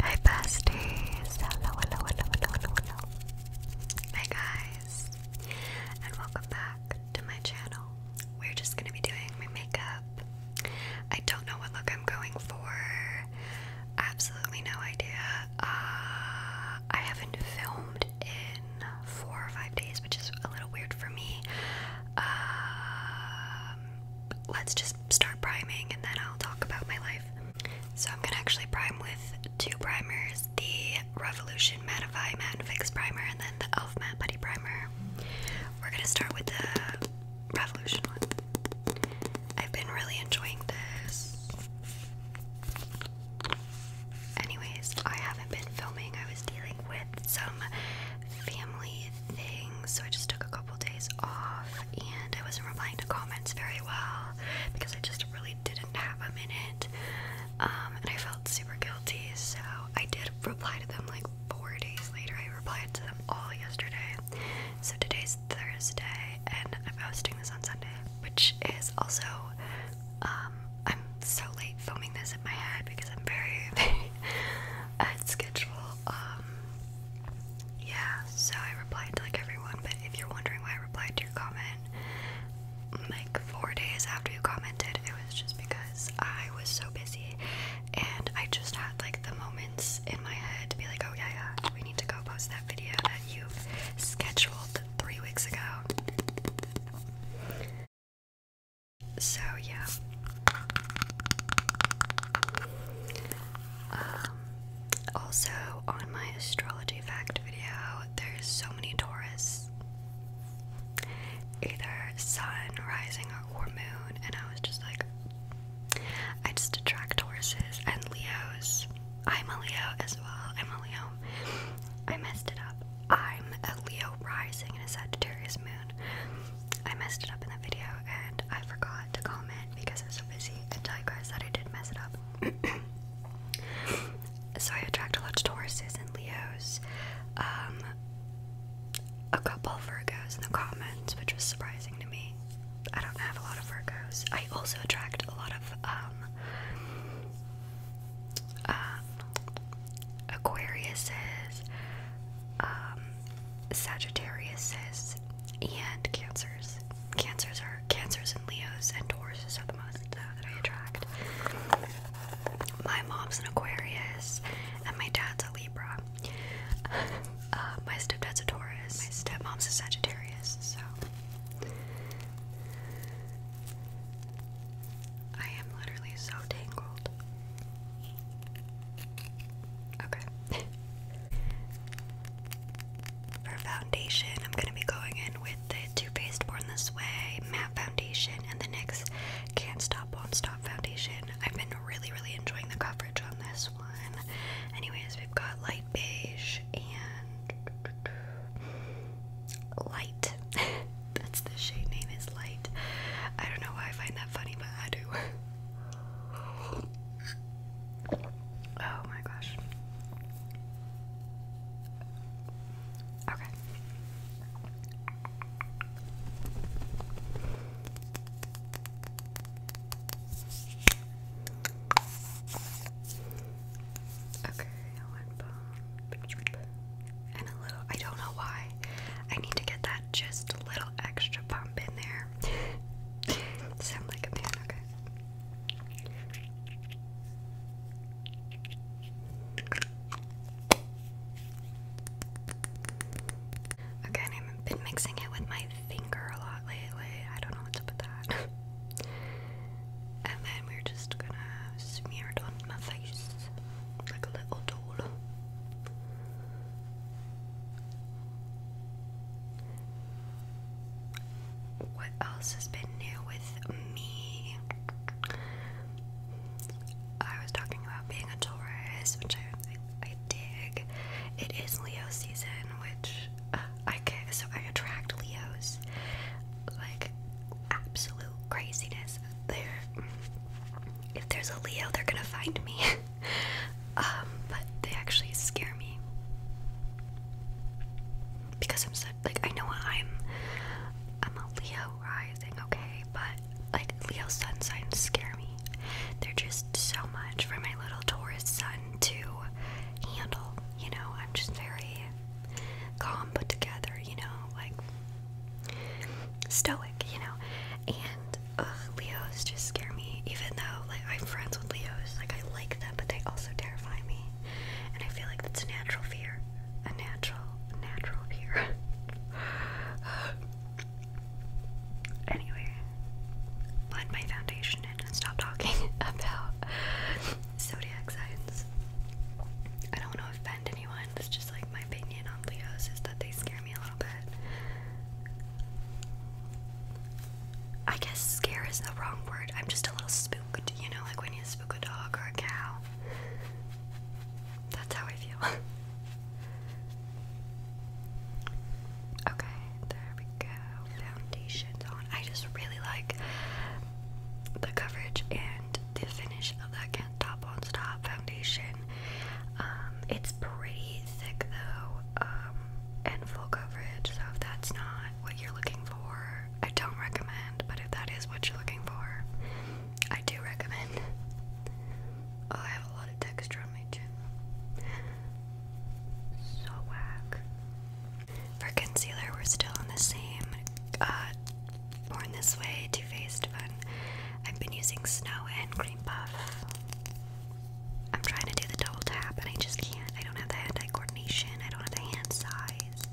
Hi besties! Hello, hello, hello, hello, hello, hello. Hi guys, and welcome back to my channel. We're just gonna be doing my makeup. I don't know what look I'm going for. Absolutely no idea. Uh, I haven't filmed in four or five days, which is a little weird for me. Um, let's just start priming and then I'll talk about my life. So I'm gonna actually prime with two primers, the Revolution Mattify Matte Fix Primer and then the e.l.f. Matte Putty Primer. We're gonna start with the Revolution one. I've been really enjoying this. Anyways, I haven't been filming. I was dealing with some family thing, so I just took a couple days off and I wasn't replying to comments very well because I just really didn't have a minute. Um, and I felt super guilty, so I did reply to them like four days later. I replied to them all yesterday. So today's Thursday, and I'm posting this on Sunday, which is also, um, I'm so late filming this in my head because I'm very at schedule um, yeah, so I replied to like everyone, but if you're wondering why I replied to your comment like four days after you commented, it was just because I was so busy and I just had like the moments in my head to be like, oh yeah, yeah, we need to go post that video that you scheduled three weeks ago. So yeah, um, also, on my astrology fact video, there's so many Taurus, either sun, rising, or moon, and I was just like, I just attract Tauruses and Leos. I'm a Leo as well. I'm a Leo. I messed it up. I'm a Leo rising in a Sagittarius moon. I messed it up in the video and I forgot to comment because I was so busy and tell you guys that I did mess it up. so I attract a lot of Tauruses and Leos, um, a couple Virgos in the comments, which was surprising to me. I don't have a lot of Virgos. I also attract a lot of um, uh, Aquariuses, um, Sagittariuses and Cancers. Cancers are Cancers and Leos and Tauruses are the most uh, that I attract. My mom's an Aquarius and my dad's a Libra. Uh, my stepdad's a Taurus. My stepmom's a Sagittarius. So I am literally so tangled. Okay. For foundation, I'm going to be going in with the Too Faced Born This Way matte foundation and the NYX Can't Stop Won't Stop foundation. I've been really, really enjoying the coverage on this one. Anyways, we've got light beige and light. That's the shade name is light. I don't know why I find that funny, but I do. Oh my gosh. Okay. Okay, a little. I don't know why. I need to get that just a little extra pump in there. okay. I've been mixing it with my finger a lot lately. I don't know what's up with that. and then we're just gonna smear it on my face like a little doll. What else has been new with me? I was talking about being a Taurus, which I, I, I dig. It is Leo season, which uh, I can, so I attract Leos like absolute craziness. They're if there's a Leo, they're gonna find me. Um, but they actually scare me because I'm so like I know I'm I'm a Leo rising, okay, but like Leo sun signs scare me. They're just so much for my little Taurus sun to handle. You know, I'm just very calm, put together. You know, like stoic, you know. And Leos just scare me, even though like I'm friends with Leos, like I like them, but they also terrify me. And I feel like that's a natural fear, a natural, natural fear. anyway, let my foundation in and stop talking about zodiac signs. I don't want to offend anyone. That's just like my opinion on Leos is that they scare I guess scare is the wrong word. I'm just a little spooked, you know, like when you spook a dog or a cow. That's how I feel. okay, there we go. Foundation's on. I just really like the coverage and the finish of that Kent Top on Stop foundation. Um, it's pretty thick though, um, and full coverage, so if that's not what you're looking for, I don't recommend, but if that is what you're looking for, I do recommend. Oh, I have a lot of texture on my chin. So whack. For concealer, we're still on the same uh, Born This Way, Too Faced Fun. I've been using Snow and Cream Buff. I'm trying to do the double tap and I just can't. I don't have the hand eye coordination, I don't have the hand size.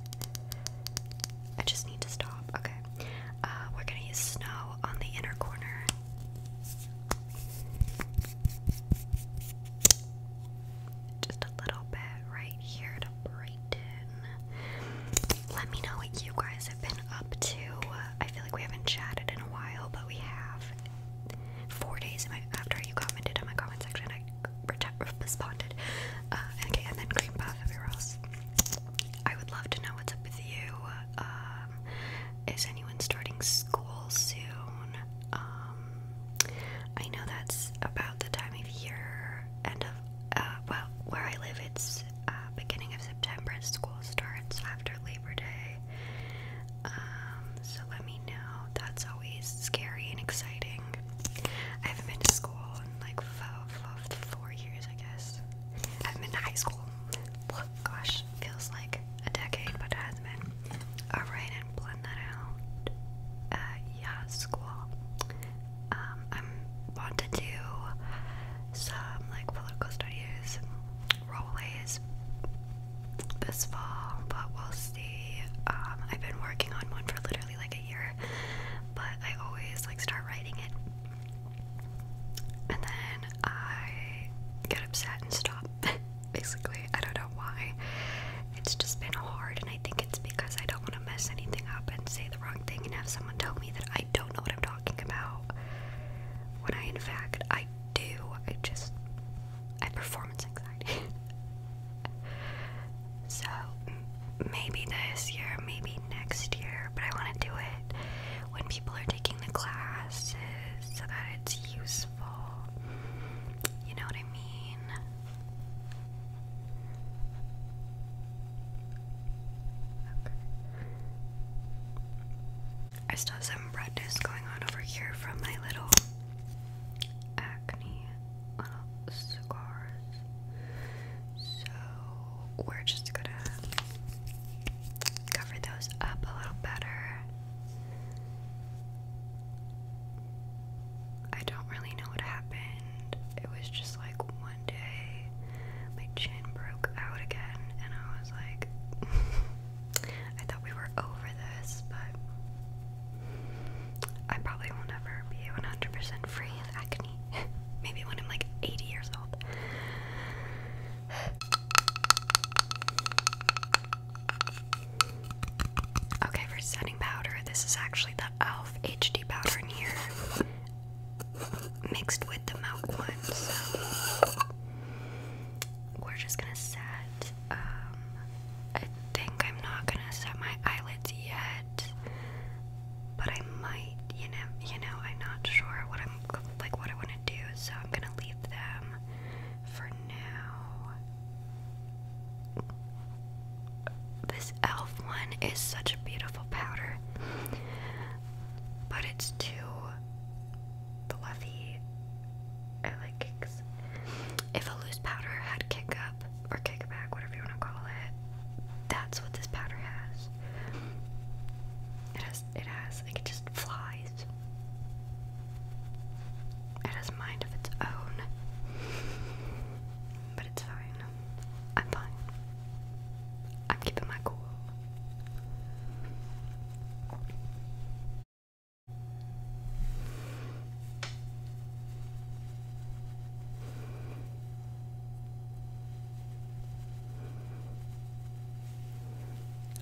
I just need to stop. Okay. Uh, we're gonna use Snow on the inner corner. Just a little bit right here to brighten. Let me know what you guys been up to? Uh, I feel like we haven't chatted in a while, but we have. Four days after you commented on my comment section, I responded. Uh, okay, and then cream puff everywhere I would love to know what's up with you. Um, is anyone starting school soon? Um, I know that's about the time of year, end uh, well, where I live, it's uh, beginning of September school starts after Labor Day. Um, so let me know. That's always scary and exciting. I haven't been to school in like four, years, I guess. I have been to high school. Gosh, feels like a decade, but it has been. Alright, and blend that out. Uh, yeah, school. Um, I want to some like political studies roleplays this fall, but we'll see. Um, I've been working on one for literally like a year, but I always like start writing it, and then I get upset and stop. Basically, I don't know why. It's just been hard, and I think it's because I don't want to mess anything up and say the wrong thing and have someone tell me that I. I don't know what I'm talking about. When I, in fact, I do. I just. I have performance anxiety. so, maybe this year, maybe next year, but I want to do it when people are taking the classes so that it's useful. You know what I mean? I still have some redness going on over here from my little acne scars. So we're just gonna cover those up a little better. I don't really know what happened. It was just like one day my chin broke out again, and I was like, I thought we were over this, but I probably will never be 100% free of acne. Maybe when I'm like 80 years old. Okay, for setting powder, this is actually the e.l.f. HD powder here mixed with the milk one. So we're just gonna set. Um, I think I'm not gonna set my eyelids yet, but I might. You know, you know, I'm not sure what I'm like what I want to do, so I'm gonna leave them for now. This elf one is such a beautiful powder but it's too fluffy. I like kicks. If a loose powder had kick up or kick back, whatever you want to call it, that's what this powder has. It has, it has, like it just flies. It has mind of its own, but it's fine. I'm fine. I'm keeping my cool.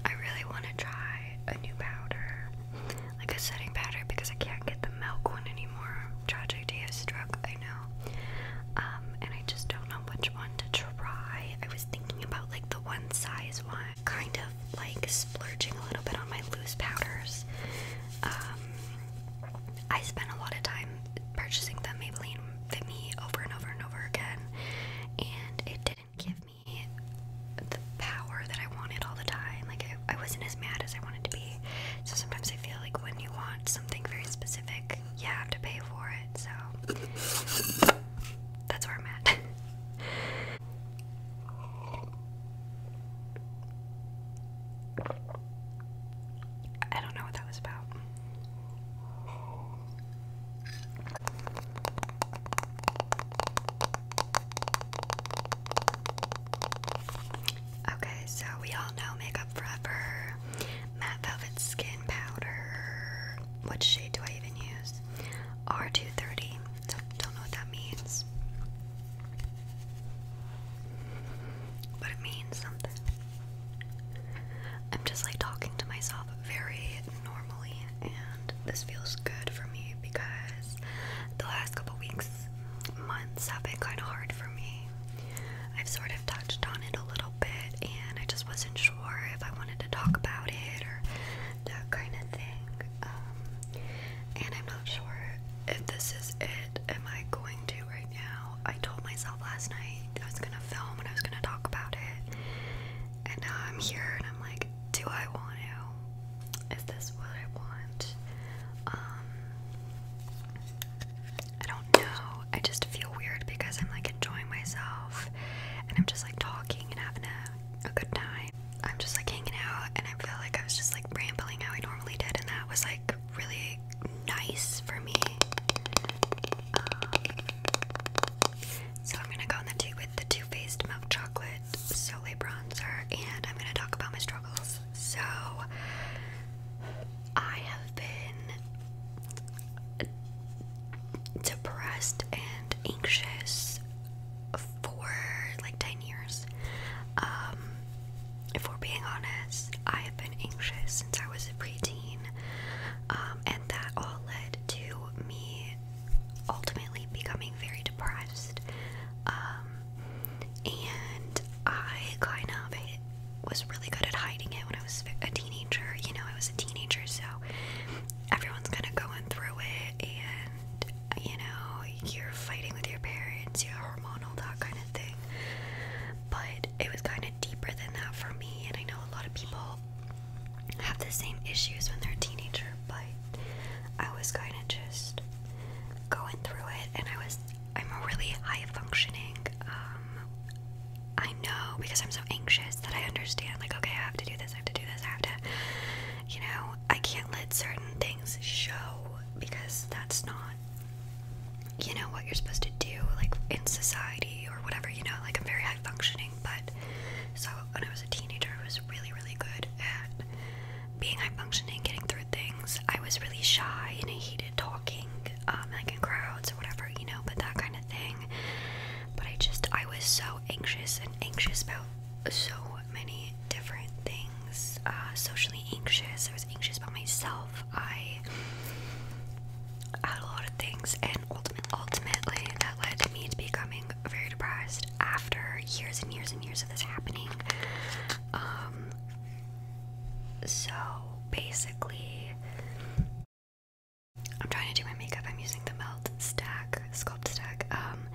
I really want to try a new powder, like a setting powder, because I can't get the milk one anymore tragedy has struck, I know. Um, and I just don't know which one to try. I was thinking about like the one size one, kind of like splurging a little bit on my loose powders. Um, I spent a lot of time purchasing the Maybelline Fit Me over and over and over again, and it didn't give me the power that I wanted all the time. Like, I wasn't as mad as I wanted to be. So sometimes I feel like when you want something very specific, specific, you have to pay for it, so that's where I'm at. I don't know what that was about. Okay, so we all know Makeup Forever. Matte Velvet Skin Powder. What shade do I even use? R230. Don't, know what that means. But it means something. I'm just like talking to myself very normally, and this feels good for me because the last couple weeks, months have been kind of hard for me. I've sort of touched on it a little bit, and I just wasn't sure if I wanted to talk about it or that kind of thing. Um, and I'm not sure if this is it. Am I going to right now? I told myself last night I was gonna film and I was gonna talk about it, and now I'm here and I'm like, do I want to? Is this what I want? Um, I don't know. I just feel weird because I'm like enjoying myself and I'm just like talking and having a, good time. I'm just like hanging out and I feel like I was just like rambling how I normally did and that was like really nice for me. Um, so I'm gonna go on the tea with the Too Faced Milk Chocolate Soleil Bronzer and I'm gonna talk about my struggles. So I have been depressed and anxious for like 10 years. Um, if we're being honest, I have been anxious since I was a preteen, um, and that all led to me ultimately becoming very depressed. Um, and I kind of was really good at hiding it when I was a teenager. You know, I was a teenager, so everyone's kind of going through it, and you know, you're fighting with your parents, you're hormonal, that kind of thing. But it was kind of deeper than that for me, and I know a lot of people have the same issues when they're a teenager, but I was kind of just going through it, and I was I'm really high functioning. Um, I know because I'm so anxious that I understand. Like, okay, I have to do this. I have to do this. I have to. You know, I can't let certain things show because that's not. You know what you're supposed to do, like in society or whatever. You know, like I'm very high functioning, but so when I was a teenager, I was really, really good at being high functioning, getting through things. I was really shy and I hated talking, um, like in crowds or whatever, you know, but that kind of thing. But I just, I was so anxious and anxious about so many different things. Uh, socially anxious. I was anxious about myself. I had a lot of things, and ultimately, ultimately, that led me to becoming very depressed after years and years and years of this happening. Um, so basically, I'm trying to do my makeup. I'm using the Melt Stack, Sculpt Stack. Um,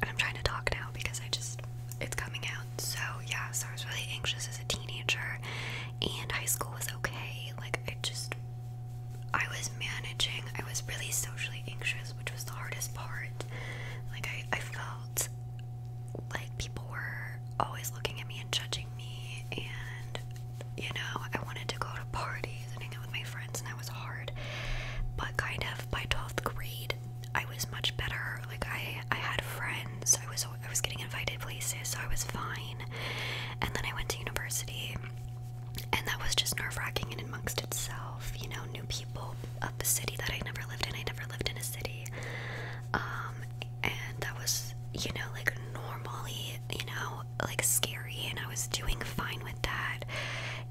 and I'm trying to talk now because I just, it's coming out. So yeah, so I was really anxious as a teenager. And high school was okay. Like, I just, I was managing. I was really socially anxious, which was the hardest part. Like, I, I felt like people were always looking at me and judging me and you know I wanted to go to parties and hang out with my friends and that was hard but kind of by 12th grade I was much better like I I had friends I was I was getting invited places so I was fine and then I went to university and that was just nerve-wracking and amongst itself you know new people of the city that I never lived in I never lived in a city um and that was, you know, like normally, you know, like scary, and I was doing fine with that.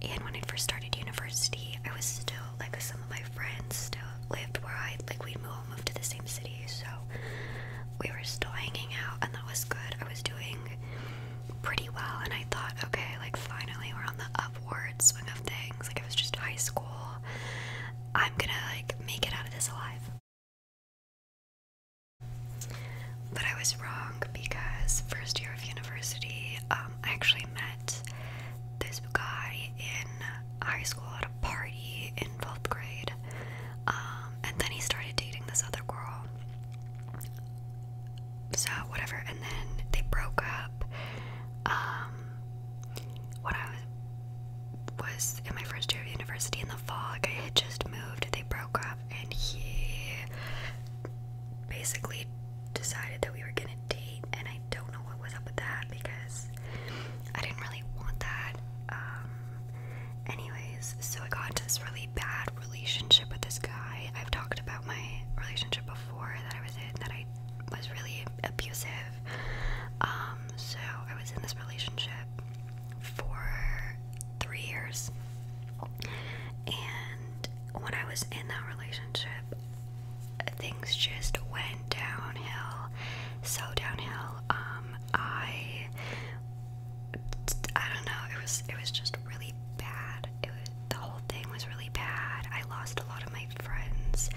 And when I first started university, I was still like some of my friends still lived where I like we all moved to the same city, so we were still hanging out, and that was good. I was doing pretty well, and I thought, okay, like finally we're on the upward swing of things. Like it was just high school, I'm gonna like make it out of this alive. But I was wrong because first year of university, um, I actually met this guy in high school at a party in 12th grade. Um, and then he started dating this other girl. So, whatever. And then they broke up. Um, when I was in my first year of university in the fall. I had just moved, they broke up, and he basically decided that we were gonna date. And I don't know what was up with that because I didn't really want that. Um, anyways, so I got into this really bad relationship with this guy. I've talked about my relationship before that I was in that I was really abusive um, so I was in this relationship for three years, and when I was in that relationship, things just went downhill, so downhill. Um, I, I don't know. It was it was just really bad. It was, the whole thing was really bad. I lost a lot of my friends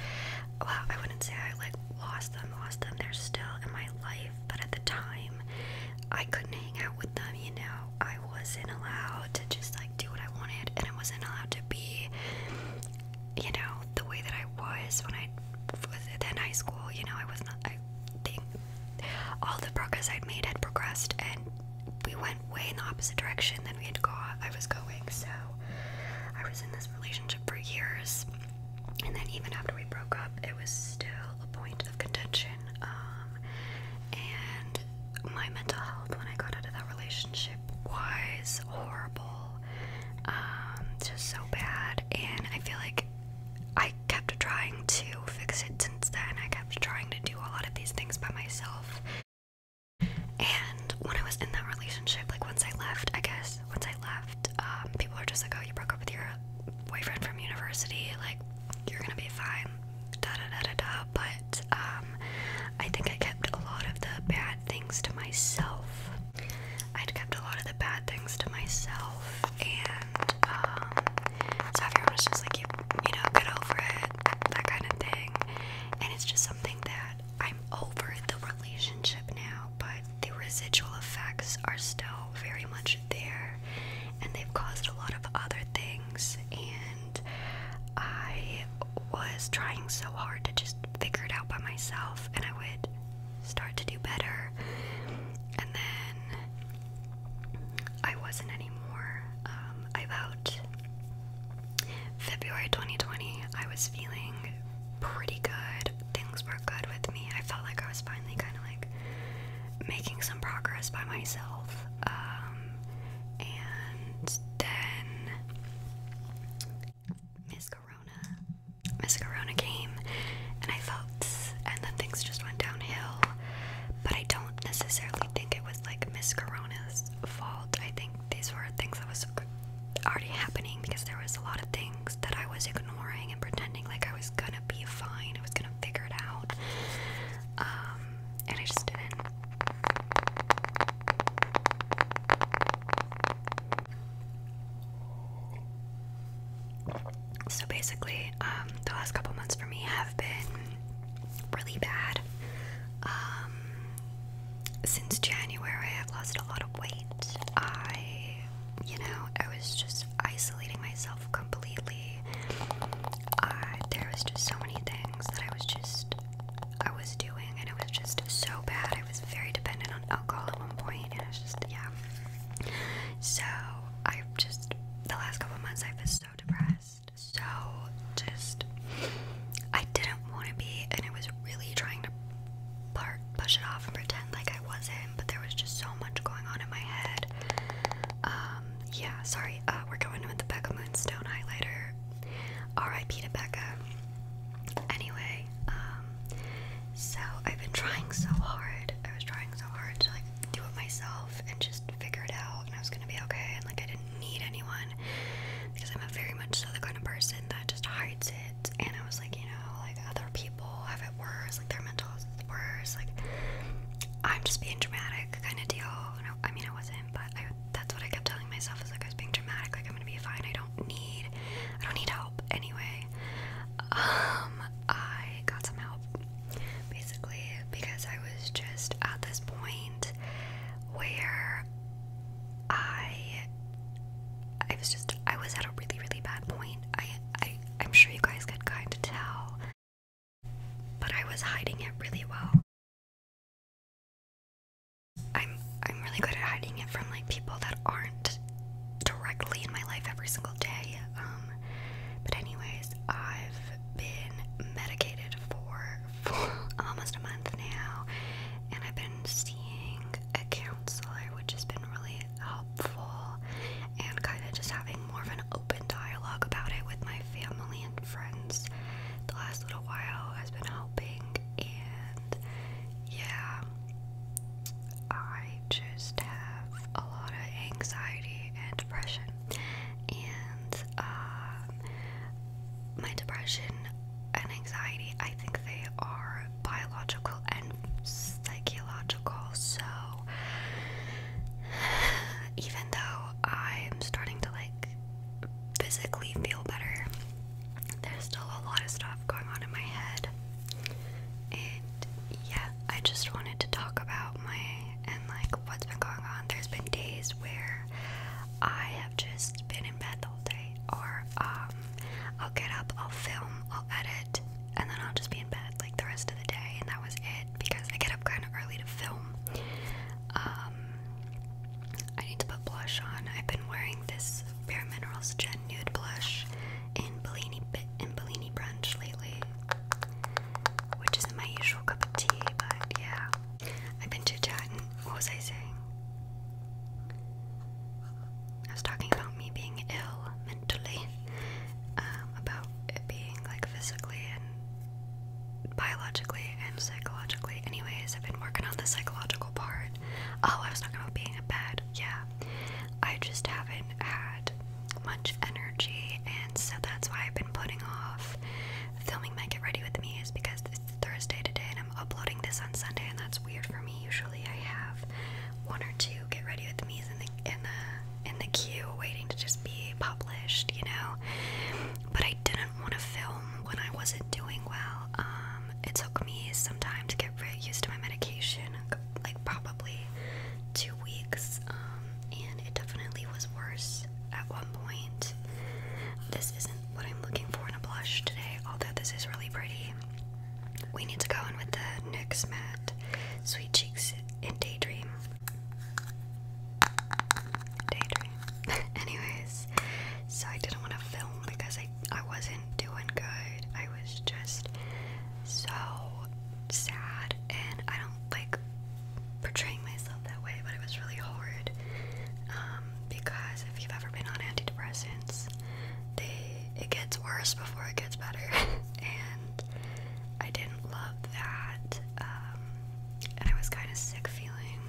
well, I wouldn't say I like lost them, lost them. They're still in my life, but at the time, I couldn't hang out with them, you know. I wasn't allowed to just like do what I wanted, and I wasn't allowed to be, you know, the way that I was when I was in high school. You know, I was not, I think all the progress I'd made had progressed, and we went way in the opposite direction than we had go. I was going, so I was in this relationship for years, and then even after we broke up, it was still a point of contention. Um, and my mental health when I got out of that relationship was horrible, um, just so bad. And I feel like I kept trying to fix it since then. I kept trying to do a lot of these things by myself. And when I was in that relationship, like once I left, I guess, once I left, um, people are just like, oh, you broke up with your boyfriend from university, like, you're gonna be fine, da da da da da. But um, I think I kept a lot of the bad things to myself. I'd kept a lot of the bad things to myself, and um, so everyone was just like, you, you know, get over it, that kind of thing. And it's just something that I'm over the relationship now, but the residual effects are still very much there and they've caused a lot of other things. And I was trying so hard to just figure it out by myself, and I would start to do better, and then I wasn't anymore. Um, I vowed February 2020, I was feeling pretty good. Things were good with me. I felt like I was finally kind of like making some progress by myself. Um, and then Miss Corona, Miss Corona came, and I felt, and then things just went downhill. But I don't necessarily think it was like Miss Corona's fault out. I think these were things that was already happening because there was a lot of things that I was ignoring and pretending like I was gonna be fine. I was gonna figure it out, um, and I just didn't. So basically, um, the last couple months for me have been really bad. Um, since January, I've lost a lot of weight. I, you know, I was just isolating myself completely. I, there was just so many things that I was just, I was doing, and it was just so bad. I was very dependent on alcohol at one point, and it was just, yeah. So, I've just, the last couple months, I've been so depressed, so just I didn't want to be, and I was really trying to push it off and pretend like I wasn't, but there was just so much going on in my head. Um, yeah, sorry, uh, we're going with the Becca Moonstone highlighter. R.I.P. to Becca. Anyway, um, so I've been trying so hard. I was trying so hard to like do it myself and just figure it out, and I was gonna be okay, and like I didn't did need anyone because I'm a very much so the kind of person that just hides it. And I was like, you know, like other people have it worse, like their mental is worse. Like I'm just being dramatic, kind of deal. No, I mean I wasn't, but I, that's what I kept telling myself is like I was being dramatic. Like I'm gonna be fine. I don't need, I don't need help anyway. Um, I got some help basically because I was just at this point where I I was just I was at a really really bad point. I I I'm sure you guys could kind of tell, but I was hiding it really well. I'm I'm really good at hiding it from like people that aren't directly in my life every single day. Um, but anyways, I've been medicated for almost a month now, and I've been seeing a counselor, which has been really helpful, and kind of just having more of an open dialogue about it with my family and friends. The last little while has been helping, and yeah, I just have a lot of anxiety and depression, and um, my depression and anxiety, I think they are biological and psychological. So even though I'm starting to like physically feel better, there's still a lot of stuff going on in my head. And yeah, I just wanted to talk about my and like what's been going on. There's been days where I have just been in bed the whole day, or um, I'll get up, I'll film, I'll edit, and then I'll just be in bed like the rest of the day, and that was it because I get up kind of early to film. Um, I need to put blush on. I've been wearing this Bare Minerals Gen Nude Blush in Bellini in Bellini Brunch lately, which isn't my usual cup of tea, but yeah. I've been too tired. What was I saying? I was talking about me being ill mentally, um, about it being like physically and biologically and psychologically. Anyways, I've been working on the psychological part. Oh, I was talking about being a bad. Yeah, I just haven't had much energy, and so that's why I've been putting off filming my Get Ready With Me is because this Thursday today, and I'm uploading this on Sunday, and that's weird for me. Usually, I have one or two get ready with me's in the in the in the queue, waiting to just be published, you know. But I didn't want to film when I wasn't doing well. Um, it took me some time to get really used to my medication, like probably two weeks, um, and it definitely was worse at one point. This isn't what I'm looking for in a blush today, although this is really pretty. We need to go in with the NYX Matte Sweet Cheeks in Daydream. Daydream. Anyways, so I didn't want to film because I, I wasn't doing good. I was just so sad and I don't like portraying myself that way, but it was really hard um, because if you've ever been on antidepressants, they it gets worse before it gets better, and I didn't love that, um, and I was kind of sick feeling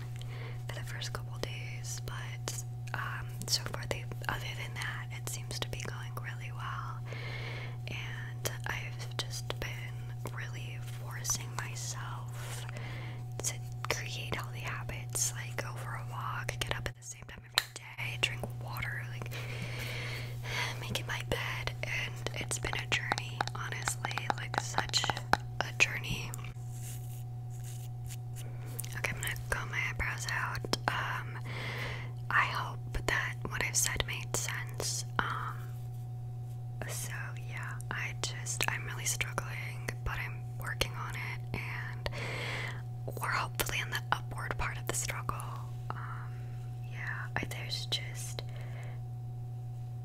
for the first couple days, but um, so far the other than that, it seems to be going really well, and I've just been really forcing myself to create all the habits, like go for a walk, get up at the same time every day, drink water, like making my bed. And it's been a journey, honestly, like such a journey. Okay, I'm gonna comb my eyebrows out. Um, I hope that what I've said made sense. Um, so yeah, I just I'm really struggling, but I'm working on it, and we're hopefully in the upward part of the struggle. Um, yeah, there's just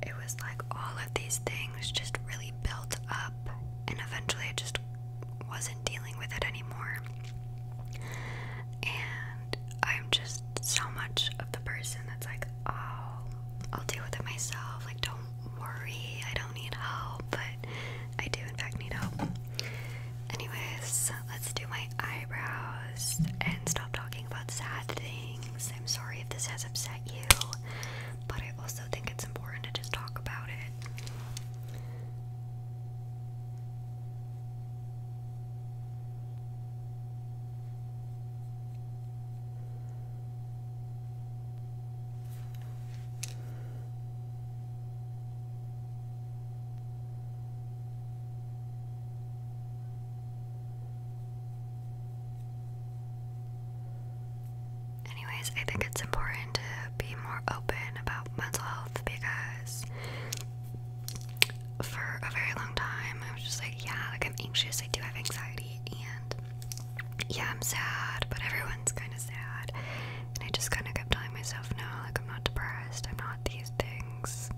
it was like all of these things just really built up, and eventually I just wasn't dealing with it anymore. And I'm just so much of the person that's like, oh, I'll deal with it myself. Like, don't worry, I don't need help, but I do, in fact, need help. Anyways, let's do my eyebrows and stop talking about sad things. I'm sorry if this has upset you, but I also think it's important to just talk about it. Anyways, I think it's important to be more open about mental health because for a very long time I was just like, yeah, like I'm anxious, I do have anxiety, and yeah, I'm sad, but everyone's kind of sad. And I just kind of kept telling myself, no, like, I'm not depressed, I'm not these things.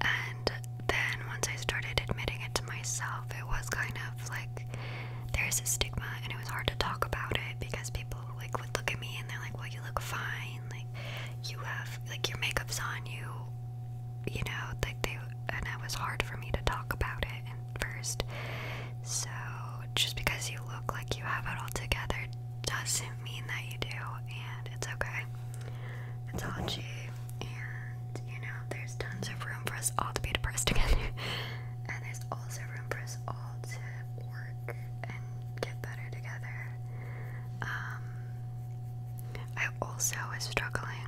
And then once I started admitting it to myself, it was kind of like there's a stigma, and it was hard to talk about it because people like would look at me and they're like, well, you look fine, like, you have, like, your makeup's on you, you know, like, they and it was hard for me to talk about it at first. So just because you look like you have it all together doesn't mean that you do, and it's okay. It's all G, and you know there's tons of room for us all to be depressed together, and there's also room for us all to work and get better together. Um, I also was struggling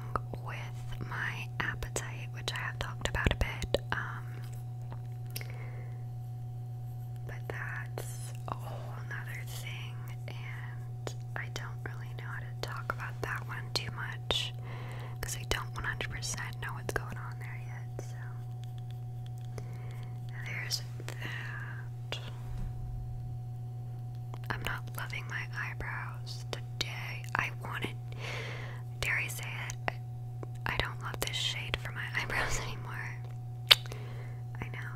with my appetite, which I have talked about a bit. Um, but that's a whole nother thing, and I don't really know how to talk about that one too much because I don't 100% know what's going on there yet. So, there's that. I'm not loving my eyebrows day. I wanted, dare I say it, I don't love this shade for my eyebrows anymore. I know.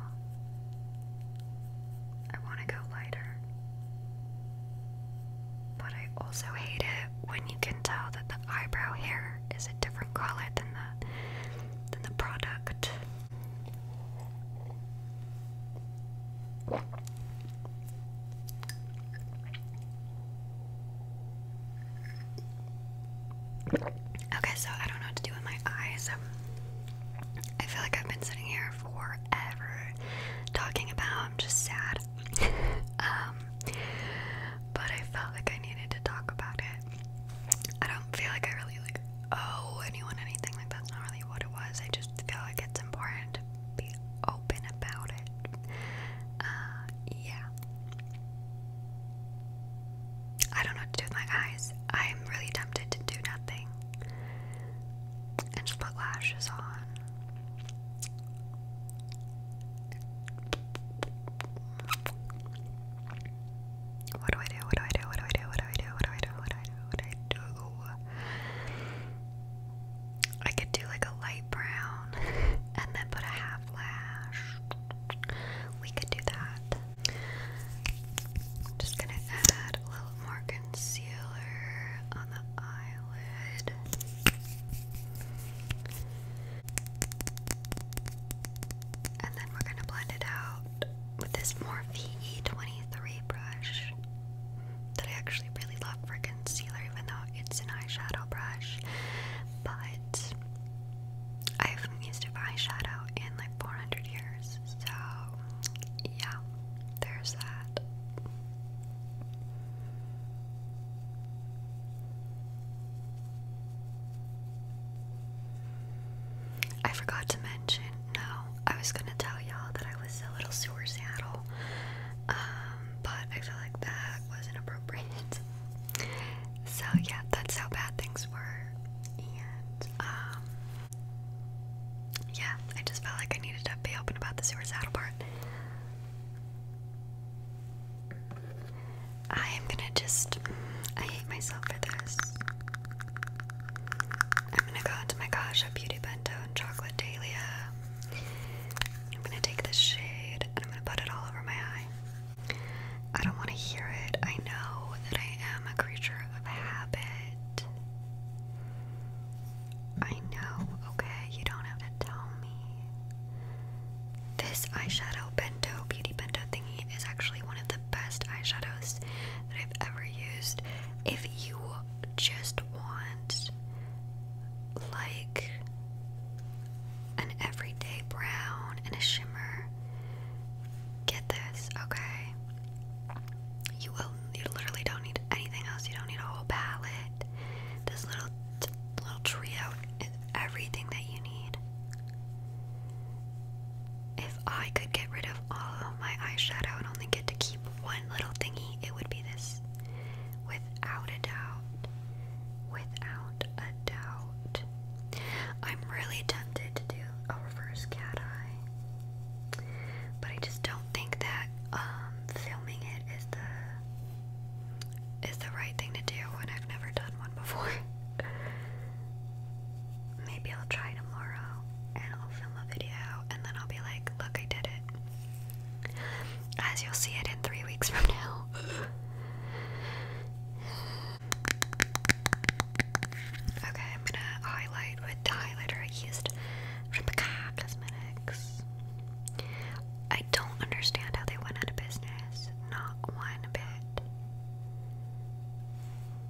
I want to go lighter. But I also hate it when you can tell that the eyebrow hair is a different color than the than the product. Okay, so I don't know what to do with my eyes. Um, I feel like I've been sitting here forever talking about I'm just sad. um but I felt like I needed to talk about it. I don't feel like I really like owe anyone anything, like that's not really what it was. I just feel like it's important be open about it. Uh, yeah. I don't know what my eyes. I'm really tempted to do nothing and just put lashes on. What do I do? What do I do? What do I do? What do I do? What do I do? What do I do? What do I do? I could do like a light brown and then put a half lash. We could do that. just gonna add a little more concealer on the eyelid. And then we're gonna blend it out with this Morphe E23 brush that I actually really love for concealer, even though it's an eyeshadow brush. But I haven't used an eyeshadow in like 400 years, so yeah, there's that. I forgot to mention no, I was gonna tell y'all that I was a little sewer saddle, um, but I feel like that wasn't So yeah, that's how bad things were, and um, yeah, I just felt like I needed to be open about the sewer saddle part. I am gonna just. I hate myself for this. I'm gonna go into my Kasha Beauty Bento and Chocolate Dahlia. I'm gonna take this shade and I'm gonna put it all over my eye. I don't want to hear it. I know that I am a creature of habit. I know, okay? You don't have to tell me. This eyeshadow bento, beauty bento thingy is actually one of the best eyeshadows that I've ever used. If if you just want like an everyday brown and a shimmer, get this, okay? You will you literally don't need anything else. You don't need a whole palette. This little little trio is everything that you need. If I could get rid of all of my eyeshadow and only get to keep one little thingy, it would be this. Without a doubt. Without a doubt. I'm really tempted to do a reverse cat eye. But I just don't think that um filming it is the is the right thing to do when I've never done one before. maybe I'll try tomorrow and I'll film a video and then I'll be like, look, I did it. As you'll see it in three weeks from now. okay, I'm gonna highlight with the highlighter I used from the Cosmetics. I don't understand how they went out of business. Not one bit.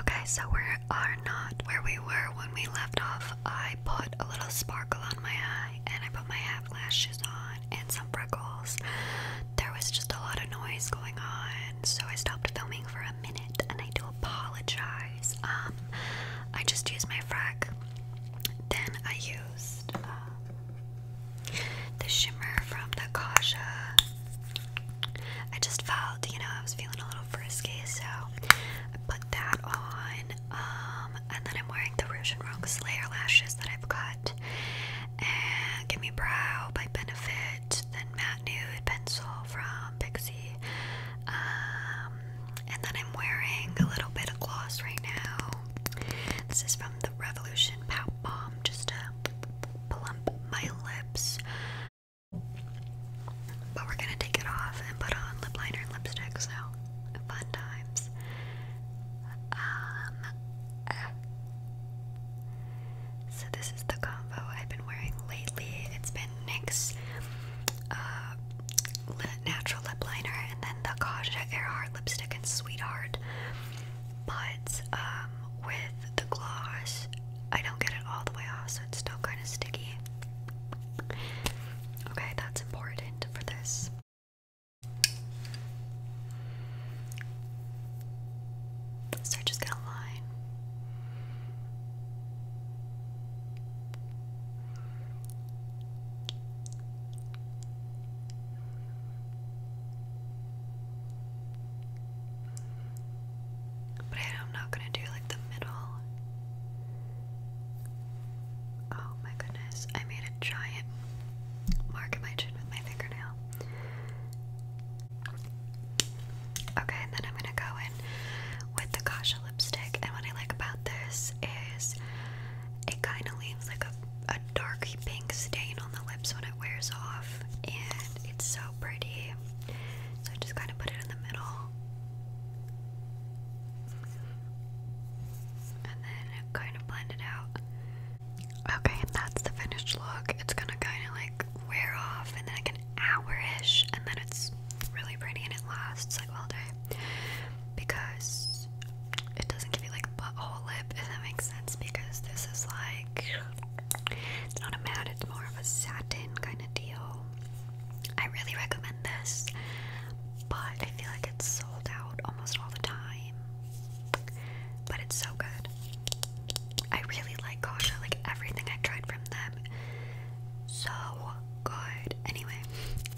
Okay, so we are not where we were when we left off. I put a little sparkle on my eye and I put my half lashes on and some freckles. There was just a lot of noise going on, so I stopped filming for a minute and I do apologize. Um, I just used my frack. Then I used um, the shimmer from the Kasha. I just felt, you know, I was feeling a little frisky, so I put that on. Um, and then I'm wearing the Rouge and Rogues layer lashes that I've got. And Gimme Brow by Benefit, then Matte Nude Pencil from Pixie. Um, and then I'm wearing a little bit of gloss right now. This is from the Revolution Pout Bomb, just to plump my lips. But we're gonna take it off and put on lip liner and lipstick, so fun times. Um, so this is the combo I've been wearing lately. It's been NYX uh, natural lip liner and then the Kaja Earhart lipstick and Sweetheart. But um, with the gloss, I don't get it all the way off, so it's still kind of sticky. Okay, that's important for this. So I just get a line. But I'm not gonna do like the middle. Oh my goodness, I made a giant mark in my chin with my fingernail. Okay, and then I'm gonna go in with the Kasha lipstick, and what I like about this is it kind of leaves like a, a dark pink stain on the lips when it wears off, and it's so pretty. So I just kind of put it in the middle. And then kind of blend it out. Okay, and that's the finished look. It's gonna kind of like wear off in like an hour and then it's really pretty and it lasts like all day. Because it doesn't give you like a butthole lip, if that makes sense, because this is like it's not a matte, it's more of a satin kind of deal. I really recommend this, but I feel like it's sold out almost all the time. But it's so good. I really like Kasha, like everything I tried from them. So good. Anyway,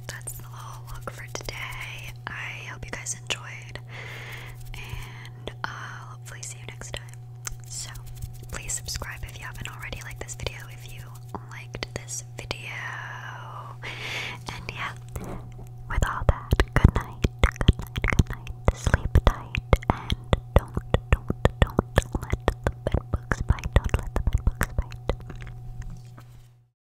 that's the whole look for today. I hope you guys enjoyed, and uh, hopefully see you next time. So, please subscribe if you haven't already, like this video if you liked this video. And yeah, with all that, good night, good night, good night. Sleep tight, and don't, don't, don't let the bedbugs bite. Don't let the bedbugs bite.